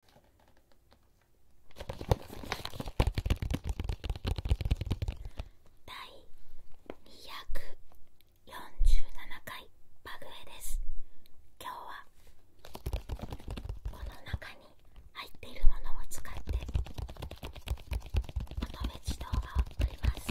第247回バグエです今日はこの中に入っているものを使って乙女児動画を撮ります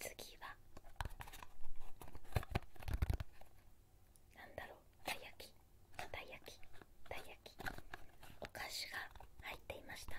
次はなんだろうたい焼きたい焼きたい焼きお菓子が入っていました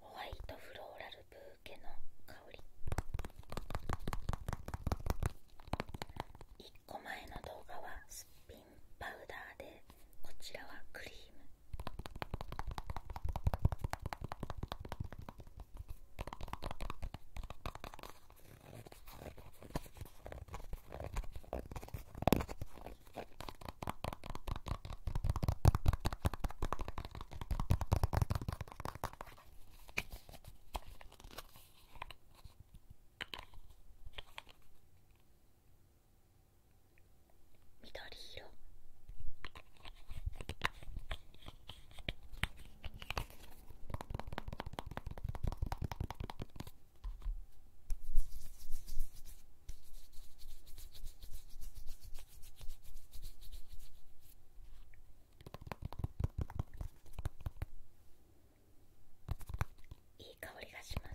ホワイトフローラルブーケの香り1個前の動画はスっぴんパウダーでこちらはクリーム緑色いい香りがします。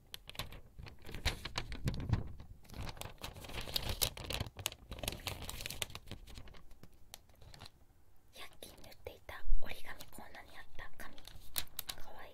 100均塗っていた折り紙コーナーにあった紙かわいい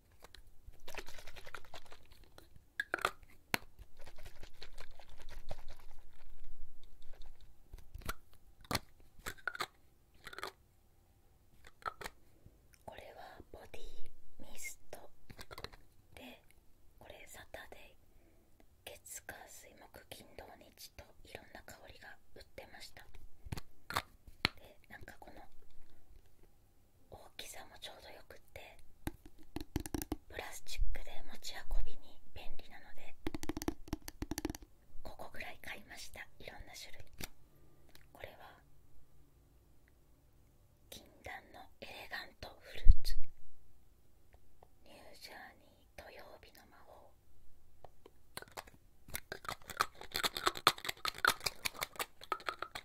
これはボディミストでこれサタデー月火水木金土日といろんな香りが売ってましたでなんかこの大きさもちょうどよくってプラスチックで持ち運びに便利なのでここぐらい買いましたいろんな種類これは禁断のエレガントフルーツニュージャーニー土曜日の魔法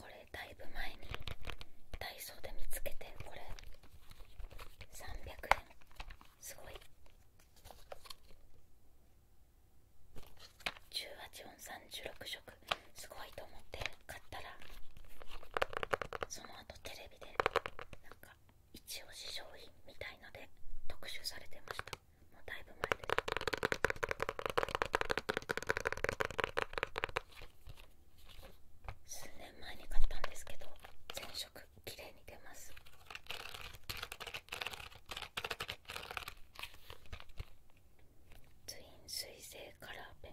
これだいぶ前にダイソーで見つけてこれ300円すごい18音36色すごいと思って買ったらその後テレビでなんか一押し商品みたいので特集されてましたもうだいぶ前です数年前に買ったんですけど全色綺麗に出ますツイン水性カラーペン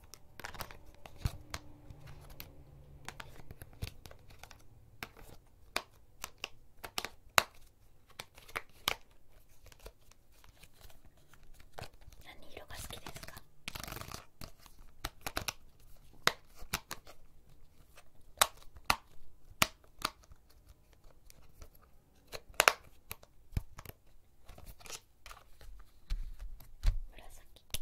何色が好きですか紫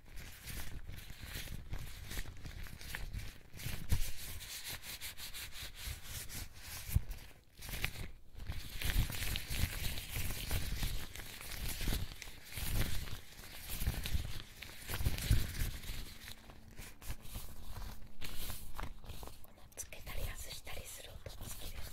つけたり外したりする音好きです。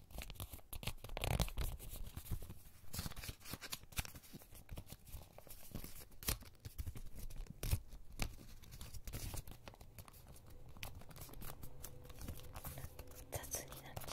雑になっちゃった。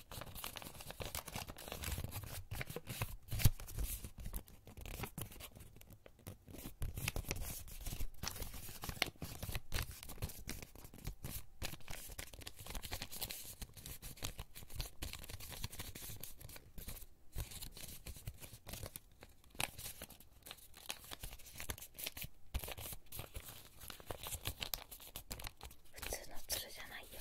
普通のつるじゃないよ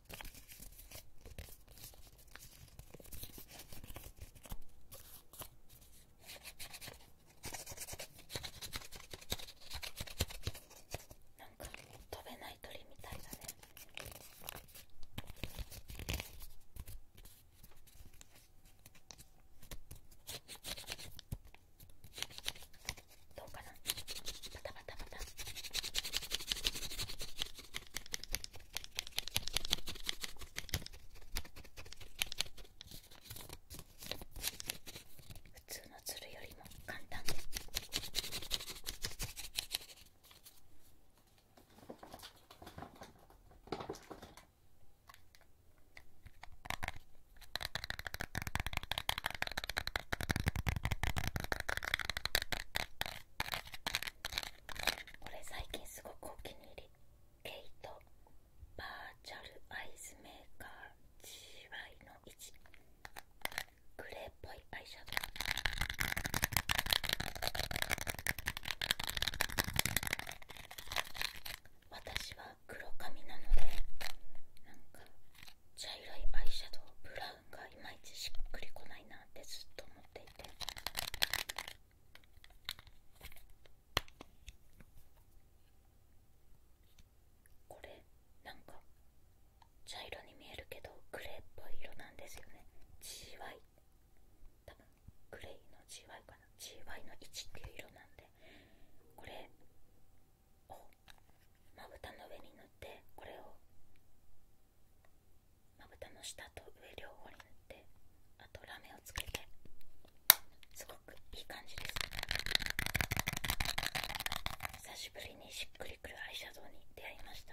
なんか飛べない鳥みたいだねかなパタパタパタ普通のつるよりも簡単ですこれ最近すごくお気に入りケイトバーチャルアイズメーカー GY の1グレーっぽいアイシャドウ私は黒髪なのでなんか茶色いアイシャドウブラウンがいまいちしっくりこないなってずっと思っていてこれなんか茶色に見えるけどグレーっぽい色なんですよね GY 多分グレーの GY かな GY の1っていう色なんでこれをまぶたの上に塗ってこれをまぶたの下と上両方に塗ってあとラメをつけてすごくいい感じです久しぶりにしっくりくるアイシャドウに出会いました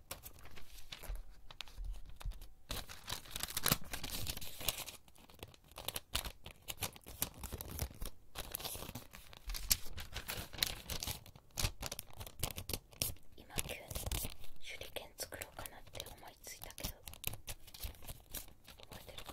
今急に手裏剣作ろうかなって思いついたけど覚えてるかな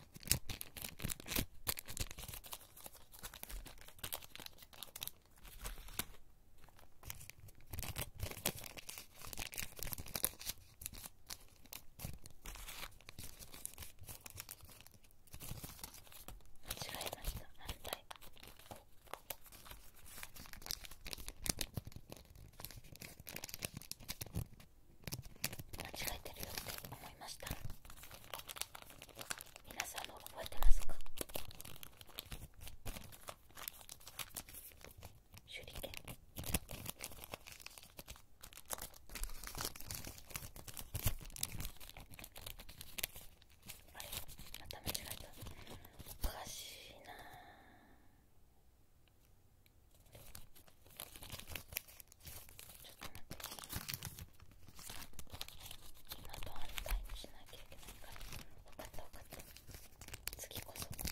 違いました間違えてるよって思いました皆さんも覚えてますか手裏剣あれまた間違えたおかしいなちょっと待ってな。と反対にしなきゃいけないから分かった分かった次こそどうだ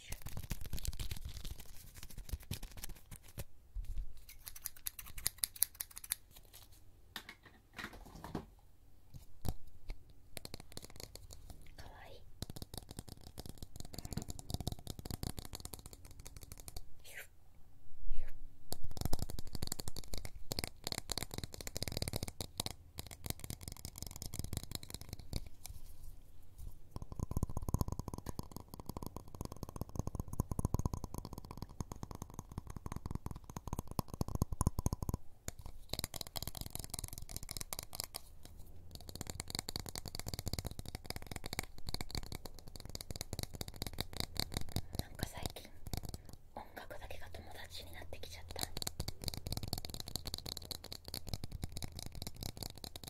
るかわいいなんか最近音楽だけが友達になってきちゃったあ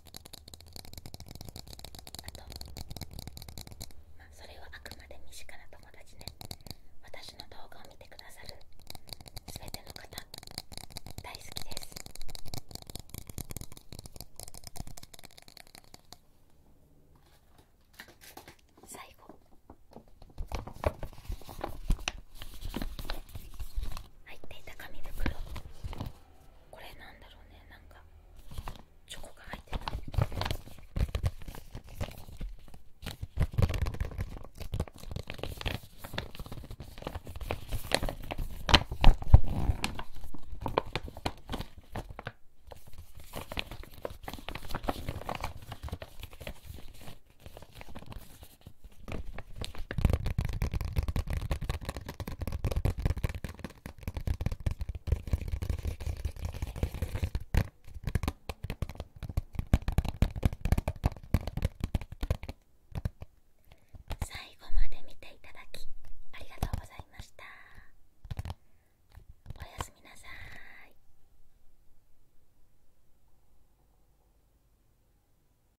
とまあそれはあくまで身近な友達で、私の動画を見てくださるすべての方大好きです最後入っていた紙袋これなんだろうねなんかチョコが入ってない最後まで見ていただきありがとうございましたおやすみなさい